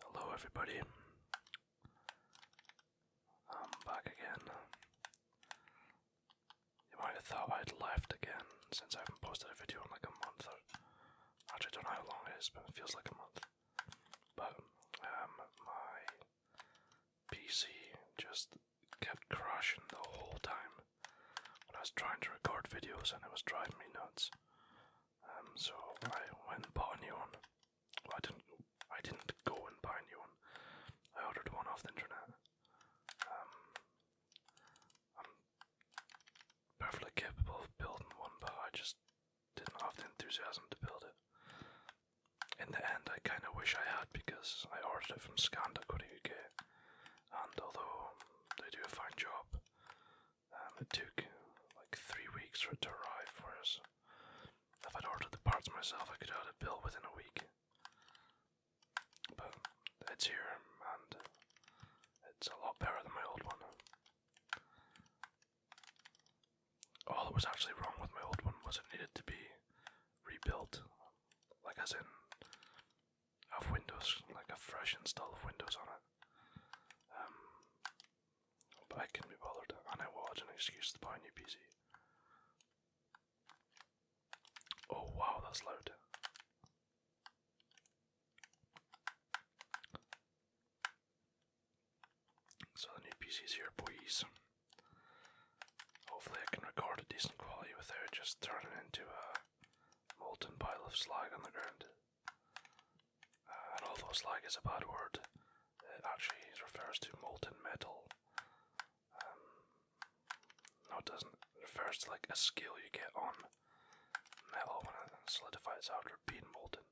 Hello, everybody. I'm back again. You might have thought I'd left again since I haven't posted a video in like a month or actually don't know how long it is, but it feels like a month. But um, my PC just kept crashing the whole time when I was trying to record videos and it was driving me nuts. Um, so I went and bought a new one. I didn't. I didn't go and buy a new one. I ordered one off the internet. Um, I'm perfectly capable of building one, but I just didn't have the enthusiasm to build it. In the end, I kind of wish I had because I ordered it from UK, and although they do a fine job, um, it took like three weeks for it to arrive, for us. if I'd ordered the parts myself, I could have had a bill within a week. But it's here, and it's a lot better than my old one. All that was actually wrong with my old one was it needed to be rebuilt, like as in have Windows, like a fresh install of Windows on it. Um, but I could be bothered, and I wanted an excuse to buy a new PC. Oh wow, that's loud. So the new PC's here, boys. Hopefully, I can record a decent quality without just turning into a molten pile of slag on the ground. Uh, and although slag is a bad word, it actually refers to molten metal. Um, no, it doesn't. refers to like a scale you get on metal when it solidifies after being molten.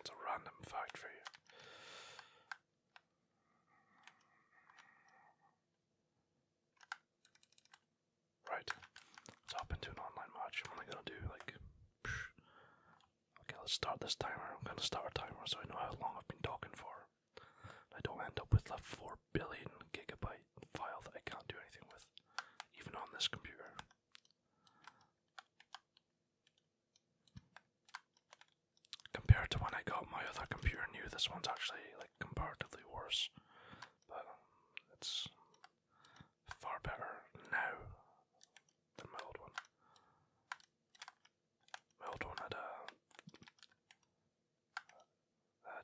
It's a random fact for you. Right. Let's hop into an online match. I'm only gonna do like. Psh. Okay, let's start this timer. I'm gonna start a timer so I know how long I've been talking for. I don't end up with a 4 billion gigabyte file that I can't do anything with, even on this computer. Compared to when I got my other computer new, this one's actually like comparatively worse but um, it's far better now than my old one. My old one had a,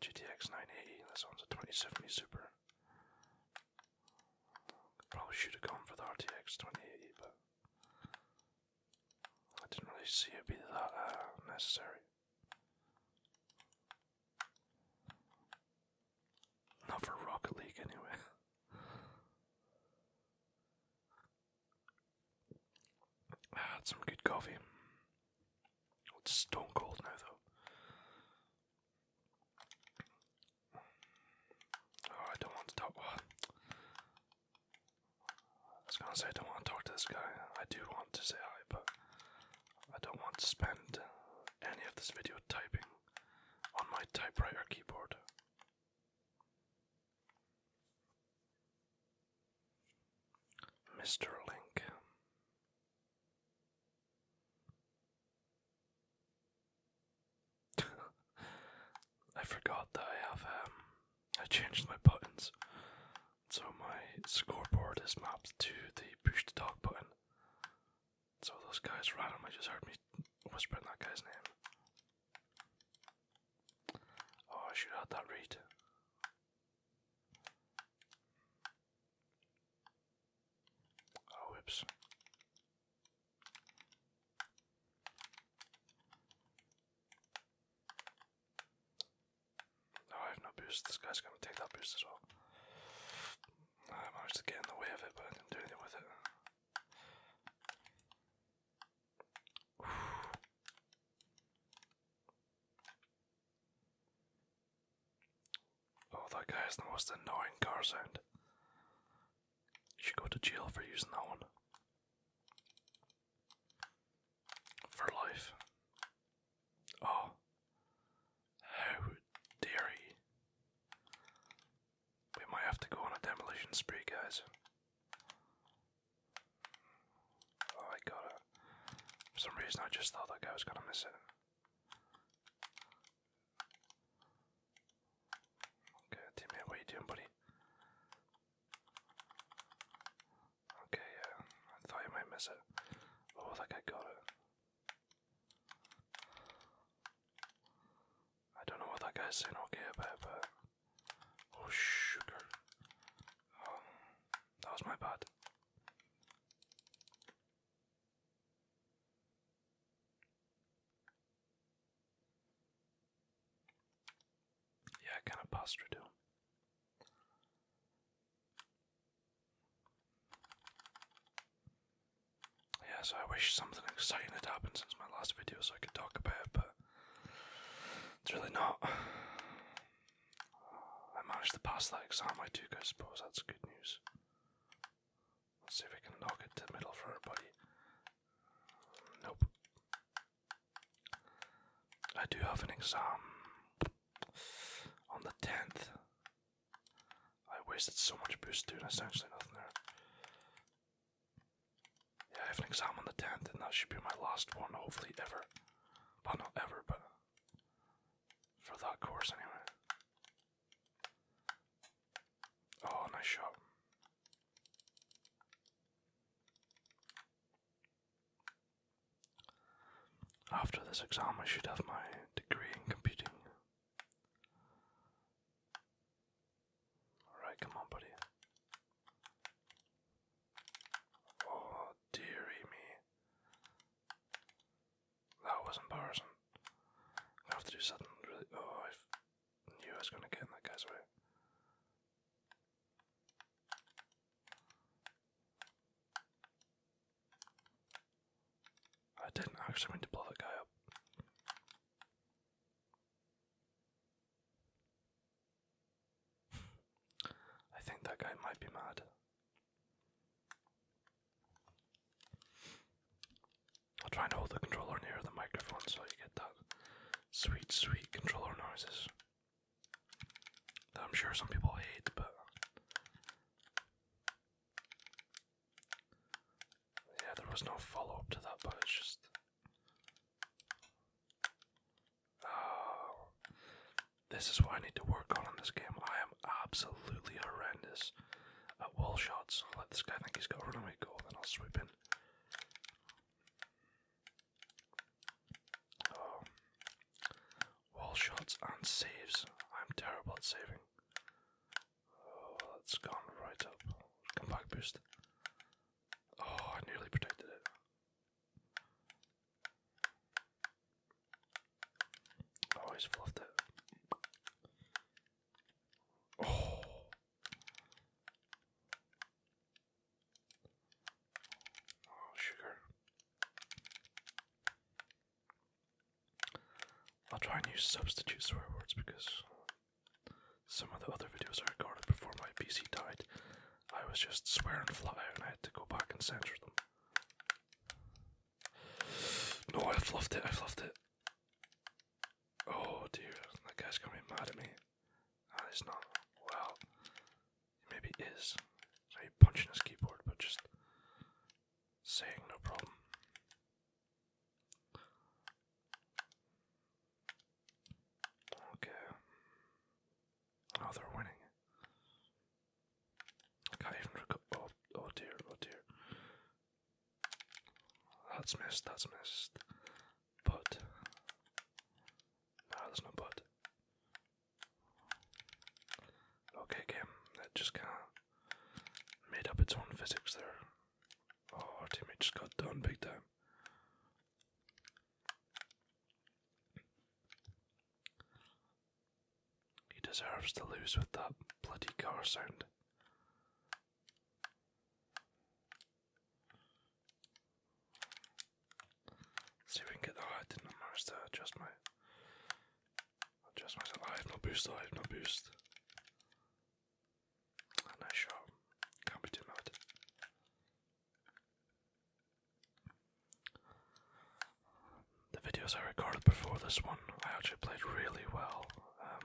GTX 980, this one's a 2070 Super. Probably should have gone for the RTX 2080, but I didn't really see it be that uh, necessary. Not for Rocket League, anyway. I ah, had some good coffee. Oh, it's stone cold now, though. Oh, I don't want to talk. I was gonna say I don't want to talk to this guy. I do want to say hi, but I don't want to spend any of this video typing on my typewriter keyboard. Mr. Link. I forgot that I have um I changed my buttons so my scoreboard is mapped to the push the dog button. So those guys right? randomly just heard me whispering that guy's name. Oh, I should have that read. Oh, whoops. Oh, I have no boost. This guy's gonna take that boost as well. I managed to get in the way of it, but I didn't do anything with it. Oh, that guy has the most annoying car sound. should go to jail for using that one for life. Oh, how dare he! We might have to go on a demolition spree, guys. Oh, I got it. For some reason, I just thought that guy was gonna miss it. Okay, teammate, what are you doing, buddy? Okay, yeah, I thought you might miss it. Oh, I think I got it. I don't know what that guy's saying okay about, but. Oh, sugar. Um, that was my bad. Yeah, kind of passed too. Yeah, so I wish something exciting had happened since my last video so I could talk about it, but it's really not. I managed to pass that exam I took, I suppose, that's good news. Let's see if I can knock it to the middle for everybody. Nope. I do have an exam on the 10th. I wasted so much boost, dude. There's actually nothing there. Yeah, I have an exam on the 10th, and that should be my last one, hopefully, ever. Well, not ever, but for that course, anyway. Oh, nice shot. After this exam, I should have my degree in computing. Alright, come on, buddy. Oh, dearie me. That was embarrassing. I have to do something really. Oh, I knew I was going to get in that guy's way. I didn't actually mean to blow that guy up. I think that guy might be mad. I'll try and hold the controller near the microphone so you get that sweet, sweet controller noises. I'm sure some people hate, but yeah, there was no follow up to that, but it's just. Oh, this is what I need to work on in this game. I am absolutely horrendous at wall shots. I'll let this guy think he's got a runaway goal, then I'll sweep in. Um, wall shots and saves. I'm terrible at saving. Oh, that's right up. Come back, boost. Oh, I nearly protected it. Oh, he's fluffed it. Oh. Oh, sugar. I'll try and use substitute swear words because some of the other videos I recorded before my PC died, I was just swearing fly and I had to go back and censor them. No, I have fluffed it, I have fluffed it. Oh dear, that guy's gonna be mad at me. Ah, not. Well, Maybe is. I'm punching his keyboard, but just saying no problem. Okay. Oh, they're winning. can't even record. Oh, oh dear, oh dear. That's missed, that's missed. But. No, there's no but. Okay, game. That just kind of made up its own physics there. Oh, our teammate just got done big time. He deserves to lose with that bloody car sound see if we can get. Oh, I did not manage to adjust my. Adjust myself. I have boost. I have boost. Ah, nice shot. Can't be too mad. The videos I recorded before this one, I actually played really well. Um,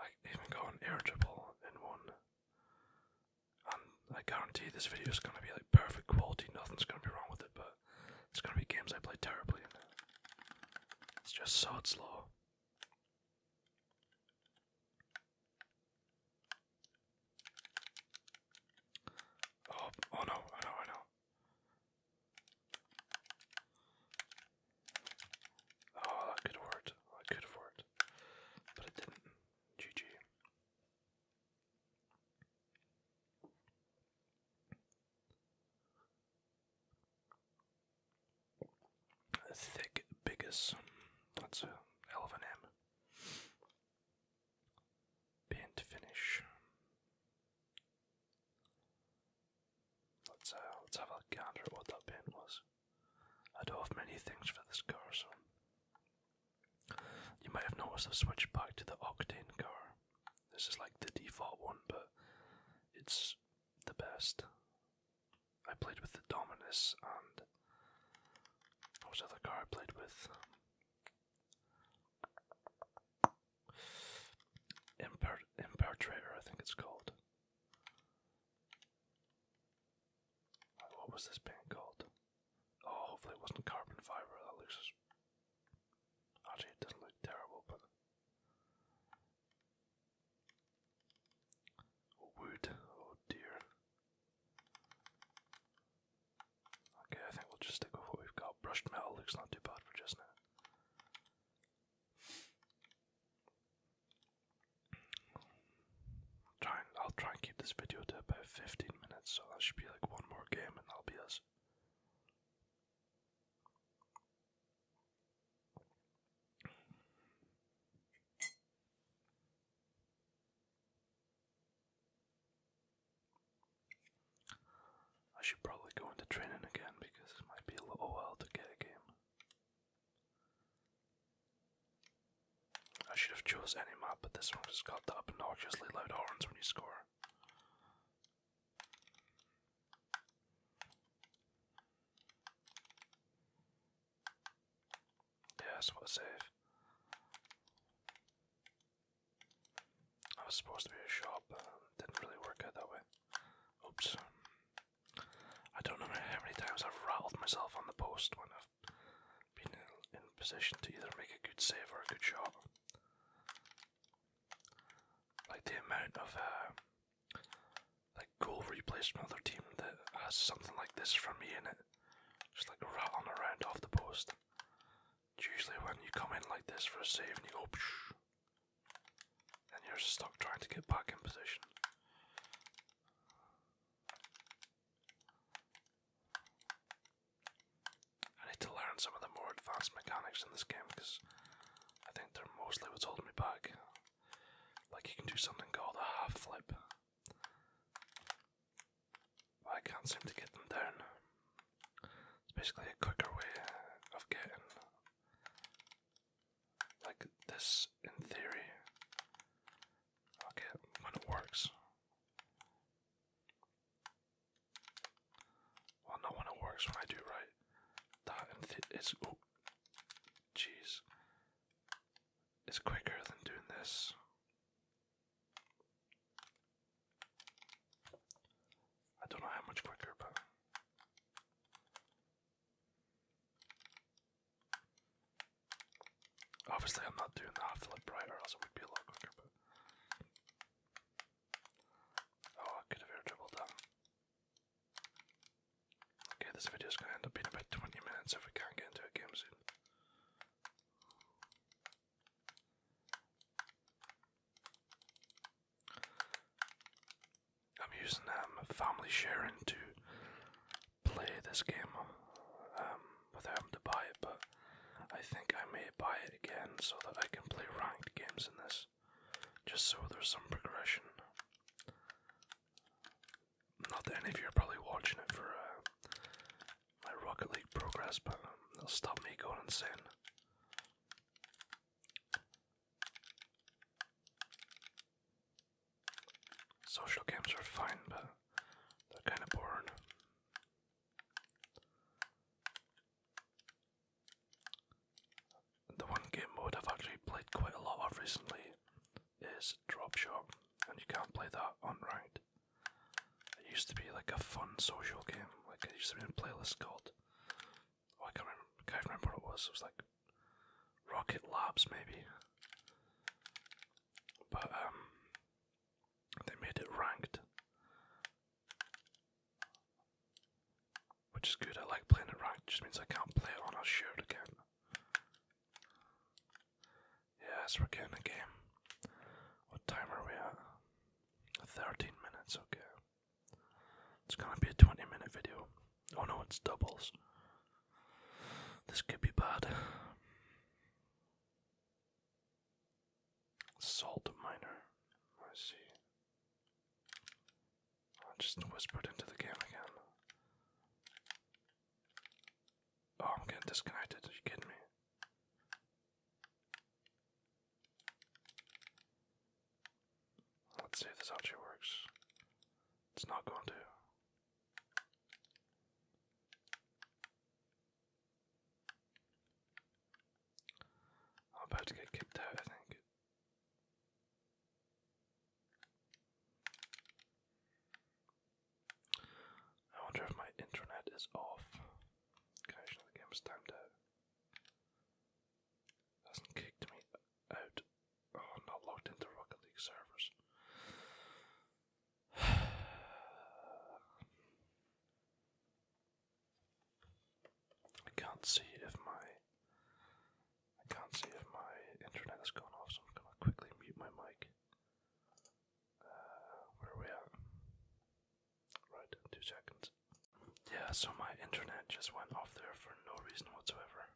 I even got irritable in one. Um, I guarantee this video is going to be like perfect quality, nothing's going to be wrong with it, but it's going to be games I play terribly It's just so slow. Oh, oh no, I know, I know. Oh, that could have worked. That could have worked. But it didn't. GG. Thick Biggest. That's a hell of an M. Paint finish. Uh, let's, have a gander at what that paint was. I do have many things for this car, so you might have noticed I've switched back to the Octane car. This is like the default one, but it's the best. I played with the Dominus and. What was other car I played with? Imper Impertrator, I think it's called. Uh, what was this band called? Oh, hopefully it wasn't carbon fiber. That looks. Actually, it doesn't look terrible, but. Oh, wood. Oh dear. Okay, I think we'll just stick with what we've got. Brushed metal looks not too bad for just now. Try I'll try and keep this video to about 15 minutes, so that should be like one more game and that'll be us. I should probably go into training again because it might be a little while to get a game. I should have chose any map, but this one just got the obnoxiously loud horns when you score. Yes, what a I was supposed to be a shop, didn't really work out that way. Oops. I don't know how many times I've rattled myself on the post when I've been in position to either make a good save or a good shot. Like the amount of uh, like goal replays from another team that has something like this from me in it, just like rattling around off the post. It's usually when you come in like this for a save and you go, Psh! and you're stuck trying to get back in position. I need to learn some of the more advanced mechanics in this game because I think they're mostly what's holding me back. Like you can do something called a half flip. But I can't seem to get them down. It's basically a quicker way of getting like this in theory Okay, when it works. Well, no, when it works, when I do right. That it's. Oh, jeez. It's quicker than doing this. I don't know how much quicker, but. Obviously, I'm not doing the hot flip right, or else it would be a lot quicker. oh, I could have air dribbled them. Okay, this video is gonna end up being about 20 minutes if we can't get into a game soon. I'm using um, family sharing to play this game um, without having to buy it, but I think I may buy it again so that I can play ranked games in this, just so there's some progression. Not that any of you are probably watching it for uh, my Rocket League progress, but um, it'll stop me going insane. Social games are fine, but they're kind of boring. The one game mode I've actually played quite a lot of recently is Drop Shot, and you can't play that on ranked. It used to be like a fun social game, like it used to be in a playlist called. Oh, I can't remember, I can't remember what it was. It was like Rocket Labs, maybe but um, they made it ranked, which is good. I like playing it ranked. just means I can't play it on a shared account. Yes, we're getting a game. What time we at? 13 minutes, okay. It's gonna be a 20 minute video. Oh no, it's doubles. This could be bad. Salt miner. I see. I just whispered into the game again. Oh, I'm getting disconnected. Are you kidding me? Let's see if this actually works. It's not going to. I'm about to get kicked out, I think. I wonder if my internet is off. Connection the game is timed out. hasn't kicked me out Oh, i not logged into Rocket League servers. I can't see if my I can't see if my internet has gone off, so I'm gonna quickly mute my mic. Uh, where we at? Right, two seconds. Yeah, so my internet just went off there for no reason whatsoever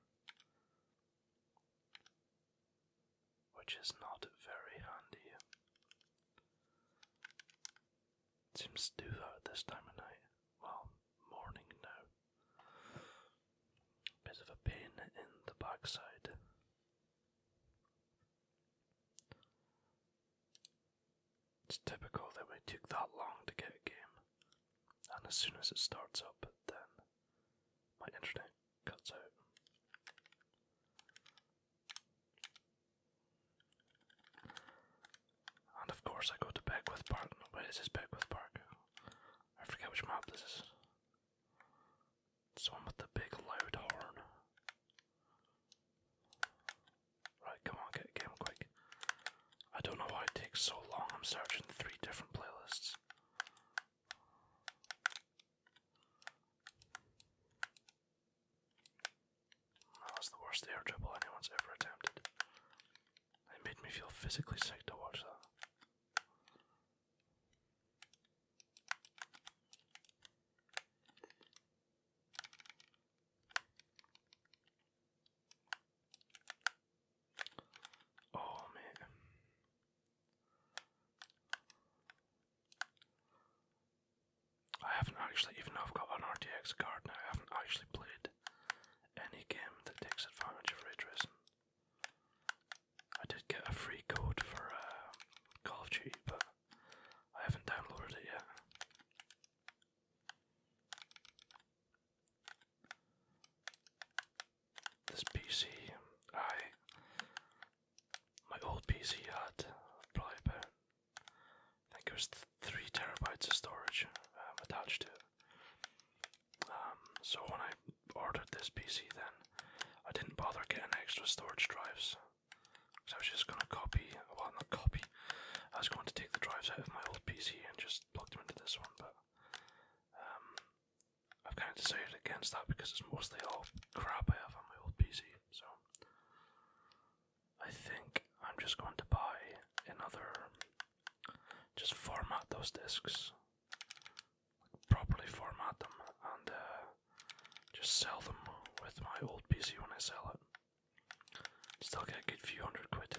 which is not very handy. seems to do that at this time of night. Well, morning now. Bit of a pain in the backside. It's typical that we took that long to get a game, and as soon as it starts up, then my internet and of course, I go to Beckwith Park. Where is this Beckwith Park? I forget which map this is. It's one with the big loud horn. Right, come on, get a quick. I don't know why it takes so long. I'm searching three different playlists. That was the worst air dribble anyone's ever attempted. It made me feel physically sick to watch that. Oh man. I haven't actually, even though I've got an RTX card now, I haven't actually played any game that takes advantage of ray tracing. I did get a free code for uh, Call of Duty, but I haven't downloaded it yet this PC. I my old PC had probably about I think it was three terabytes of storage um, attached to Um, so when I ordered this PC, then I didn't bother getting extra storage drives. So I was just gonna copy, well not copy, I was going to take the drives out of my old PC and just plug them into this one, but um, I've kind of decided against that because it's mostly all crap I have on my old PC, so I think I'm just going to buy another. Just format those discs, properly format them, and uh, just sell them with my old PC when I sell it. Still get a good few hundred quid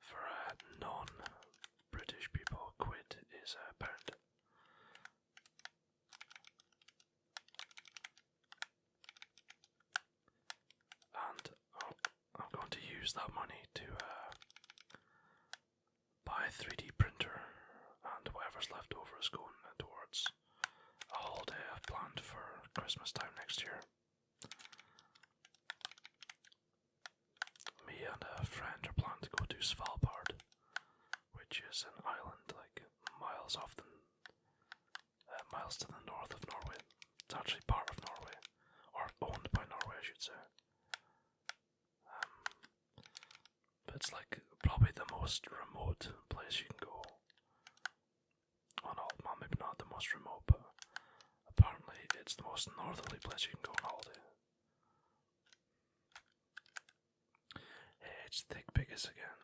for uh, non British people, quid is a pound. And i am going to use that money to uh, buy a 3D printer, and whatever's left over is going towards a holiday I've planned for Christmas time next year. Me and a friend are planning to go to Svalbard, which is an island like miles off the uh, miles to the north of Norway. It's actually part of Norway, or owned by Norway, I should say. Um, but it's like probably the most remote place you can go on all. Well, maybe not the most remote, but Apparently, it's the most northerly place you can go on holiday. Hey, it's Thick Biggest again.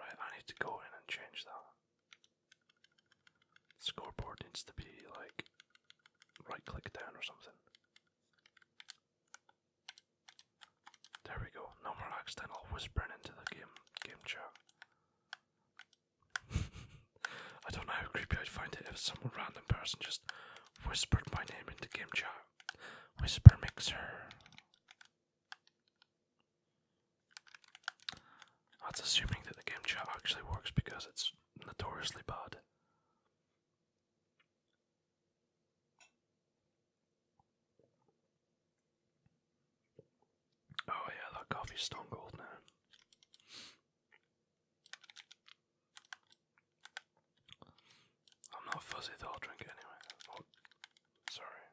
Right, I need to go in and change that. scoreboard needs to be like right click down or something. There we go. No more accidental whispering into the game game chat. I don't know how creepy I'd find it if some random person just whispered my name into game chat. Whisper mixer. That's assuming that the game chat actually works because it's notoriously bad. Oh yeah, that coffee's stone gold now. I'm not fuzzy though, I'll drink it anyway. Oh, sorry.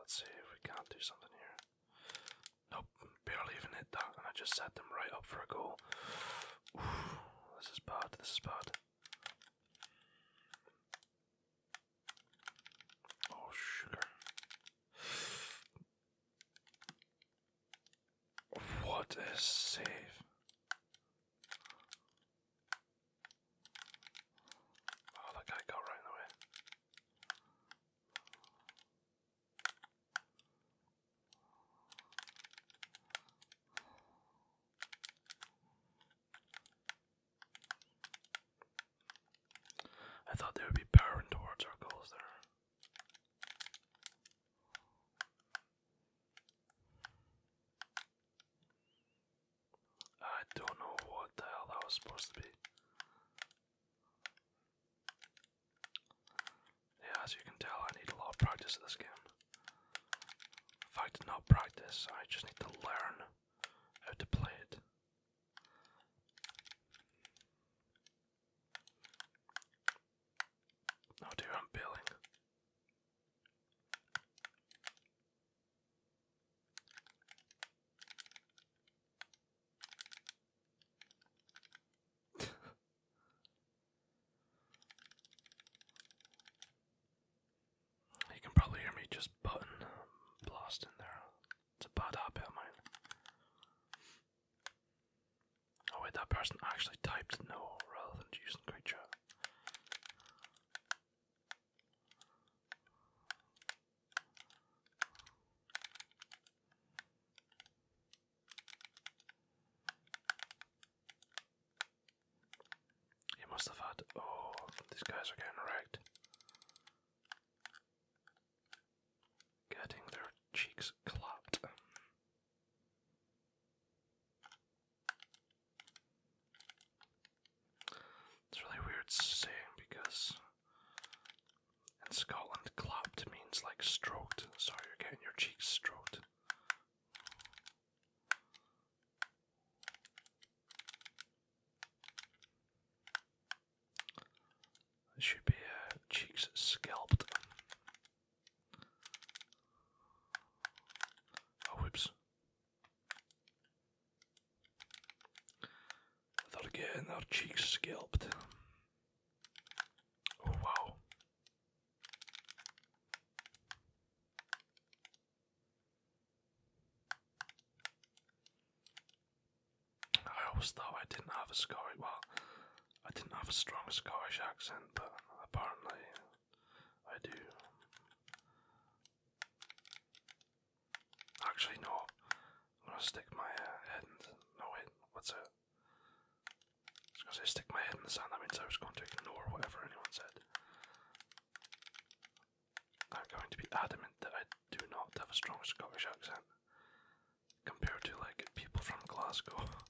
let's see if we can't do something here. Nope, barely even hit that, and I just set them right up for a goal. this is bad, this is bad. Oh, sugar. What a save. Oh, that guy got right away. I thought there would be power and towards our I don't know what the hell that was supposed to be. Yeah, as you can tell, I need a lot of practice in this game. If I did not practice, I just need to learn how to play it. Oh dear, I'm peeling. You can probably hear me just button um, blast in there. It's a bad habit of mine. Oh wait, that person actually typed no rather than using creature. He must have had. Oh, these guys are getting wrecked. Getting their cheeks clapped. It's really weird saying because in Scotland, clapped means like stroked. Sorry, you're getting your cheeks stroked. There should be uh, cheeks scalped. Oh, whoops. They're getting cheeks scalped. Oh, wow. I always thought I didn't have a Scottish, well, I didn't have a strong Scottish accent, but apparently I do. Actually, no, I'm gonna stick my uh, head No, wait, what's it? because I stick my head in the sand, that means I was going to ignore whatever anyone said. I'm going to be adamant that I do not have a strong Scottish accent compared to like people from Glasgow.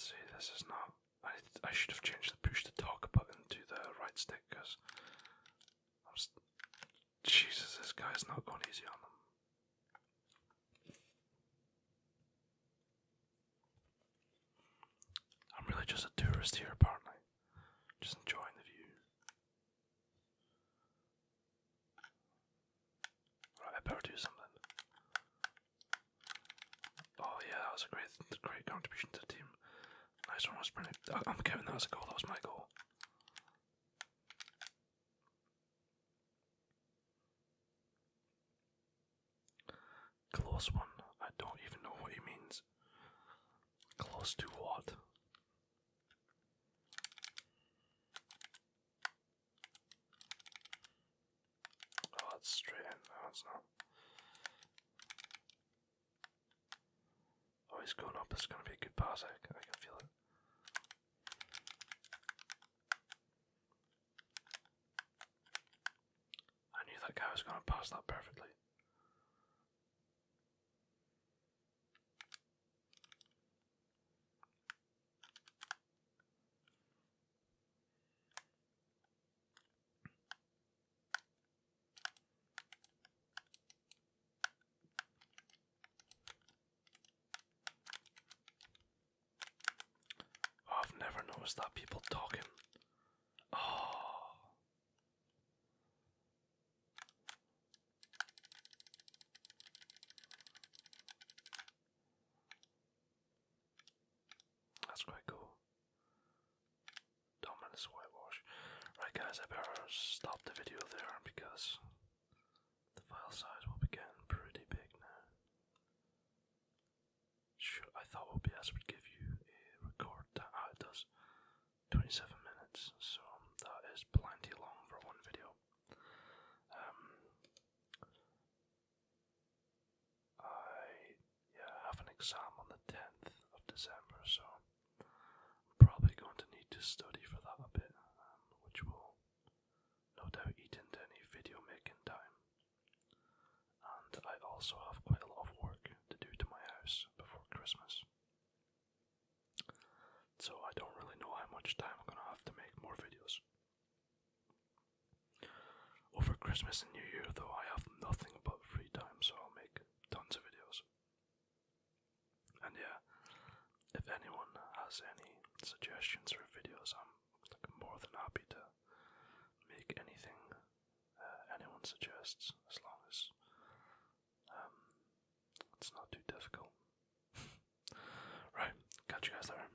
see, this is not. I I should have changed the push to talk button to the right stick because Jesus, this guy's not going easy on them. I'm really just a tourist here, apparently. Just enjoying the view. Right, I better do something. Oh yeah, that was a great, great contribution to the team. Nice one, was I'm Kevin. that was a goal. That was my goal. Close one. I don't even know what he means. Close to what? Oh, that's straight in. No, not. Oh, he's going up. It's going to be a good pass. I, I can feel it. I knew that guy was going to pass that perfectly. Oh, I've never noticed that people talking. Oh. That's quite cool. Dominus whitewash. Right, guys, I better stop the video there because the file size will be getting pretty big now. I thought OBS would give you a record that Ah, it does. 27 minutes, so um, that is plenty long for one video. Um, I yeah, I have an exam on the 10th of December, so I'm probably going to need to study for that a bit, um, which will no doubt eat into any video making time. And I also have quite a lot of work to do to my house before Christmas. So I don't really know how much time I'm gonna have to make more videos. Over Christmas and New Year, though, I have nothing but free time, so I'll make tons of videos. And yeah, if anyone has any suggestions for videos, I'm more than happy to make anything uh, anyone suggests, as long as um, it's not too difficult. right, catch you guys there.